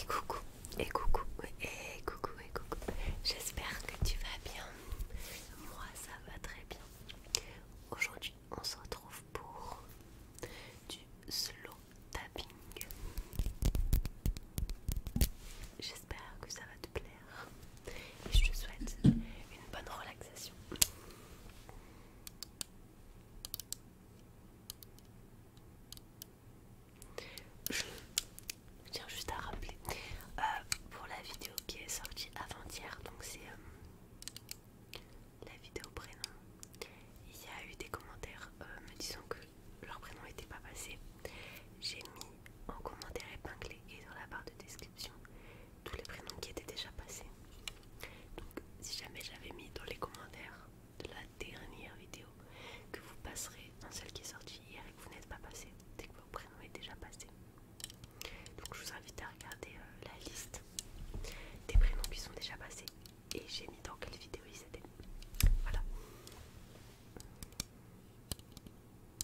Et coucou, et coucou, et coucou, et coucou. J'espère que tu vas bien. Moi, ça va très bien. Aujourd'hui, on se retrouve pour du slow tapping. J'espère que ça va te plaire. Et je te souhaite une bonne relaxation. Je tiens juste à rappeler euh, pour la vidéo qui est sortie avant-hier, donc c'est euh, la vidéo prénom. Il y a eu des commentaires euh, me disant que leur prénom n'était pas passé. J'ai mis en commentaire épinglé et dans la barre de description tous les prénoms qui étaient déjà passés. Donc si jamais j'avais mis dans les commentaires de la dernière vidéo que vous passerez dans celle qui est sortie hier et que vous n'êtes pas passé, dès que vos prénoms est déjà passé. Donc je vous invite à regarder euh, la liste des prénoms qui sont déjà passés et j'ai mis dans quelle vidéo ils étaient. Voilà.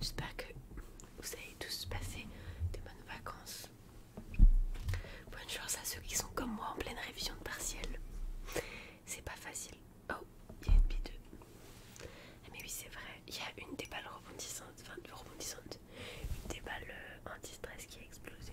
J'espère que vous avez tous passé de bonnes vacances. Bonne chance à ceux qui sont comme moi en pleine révision de partiel. C'est pas facile. Oh, il y a une B2. Ah, mais oui c'est vrai, il y a une des balles rebondissantes, enfin une des balles euh, anti-stress qui a explosé.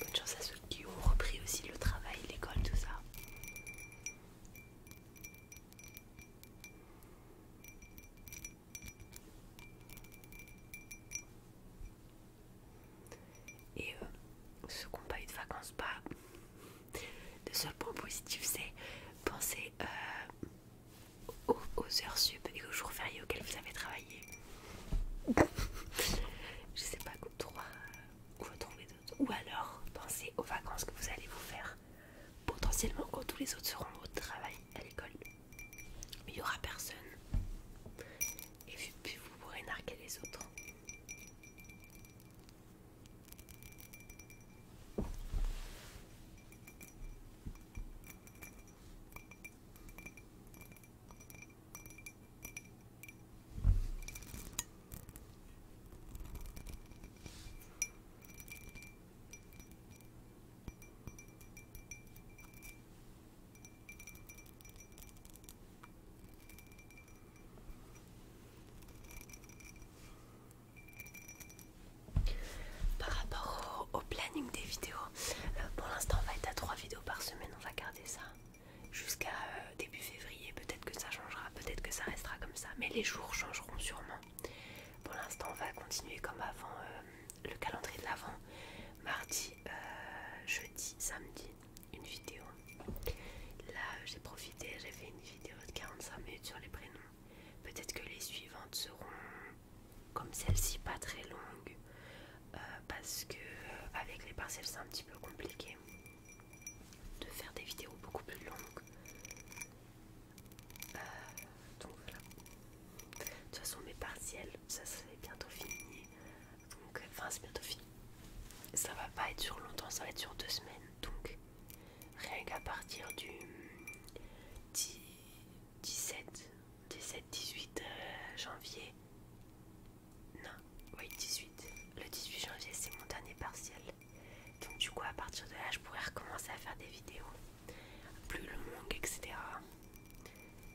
Bonne chance à ceux qui ont repris aussi le travail, l'école, tout ça. Et euh, ceux qui n'ont pas eu de vacances, pas. Bah, le seul point positif, c'est penser euh, aux, heures sub et aux jours fériés auxquels vous avez travaillé. Je sais pas, 3, ou alors, pensez aux vacances que vous allez vous faire potentiellement quand tous les autres seront au travail, à l'école. Mais il n'y aura personne. Et puis vous pourrez narguer les autres. Par rapport au, planning des vidéos, euh, pour l'instant on va être à 3 vidéos par semaine, on va garder ça jusqu'à euh, début février. Peut-être que ça changera, peut-être que ça restera comme ça, mais les jours changeront sûrement. Pour l'instant, on va continuer comme avant euh, le calendrier de l'avant. Mardi, euh, jeudi, samedi, une vidéo. Là, j'ai profité, j'ai fait une vidéo de 45 minutes sur les prénoms. Peut-être que les suivantes seront comme celle-ci, pas très longues, parce que avec les parcelles c'est un petit peu compliqué de faire des vidéos beaucoup plus longues. Euh, donc voilà. De toute façon mes partiels, ça c'est bientôt fini. Donc, enfin c'est bientôt fini. Ça va pas être sur longtemps, ça va être sur deux semaines. Donc rien qu'à partir du 17, 17, 18 janvier, non, oui, 18. Le 18 janvier, c'est mon dernier partiel. Donc, du coup, à partir de là, je pourrais recommencer à faire des vidéos plus longues, etc.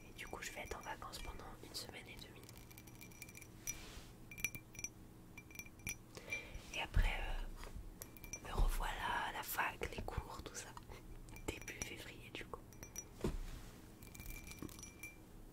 Et du coup, je vais être en vacances pendant une semaine et demie. Et après, euh, me revoilà à la fac, les cours, tout ça. Début février, du coup.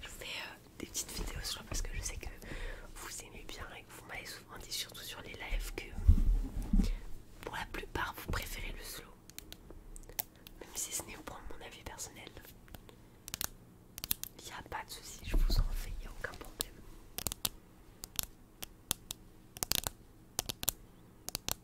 Je fais euh, des petites vidéos sur parce que je sais que vous aimez bien et que vous m'avez souvent dit, surtout sur les lives, que pour la plupart vous préférez le slow, même si ce n'est au point de mon avis personnel. Il n'y a pas de souci, je vous en fais, il n'y a aucun problème.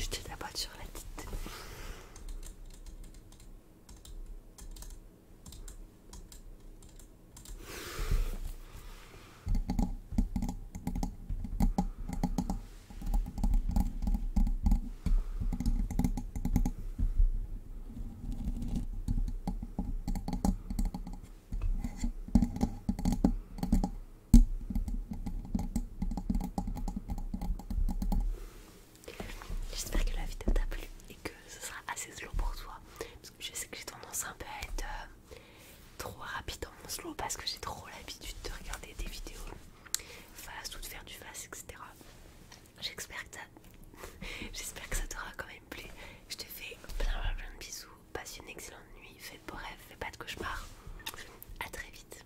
Je la boîte sur la tête. J'espère que la vidéo t'a plu et que ce sera assez slow pour toi parce que je sais que j'ai tendance un peu à être euh, trop rapide en mon slow parce que j'ai trop l'habitude de regarder des vidéos face ou de faire du face etc. J'espère que, que ça t'aura quand même plu. Je te fais plein plein, de bisous. Passe une excellente nuit. Fais de beaux rêves. Fais pas de cauchemars. à très vite.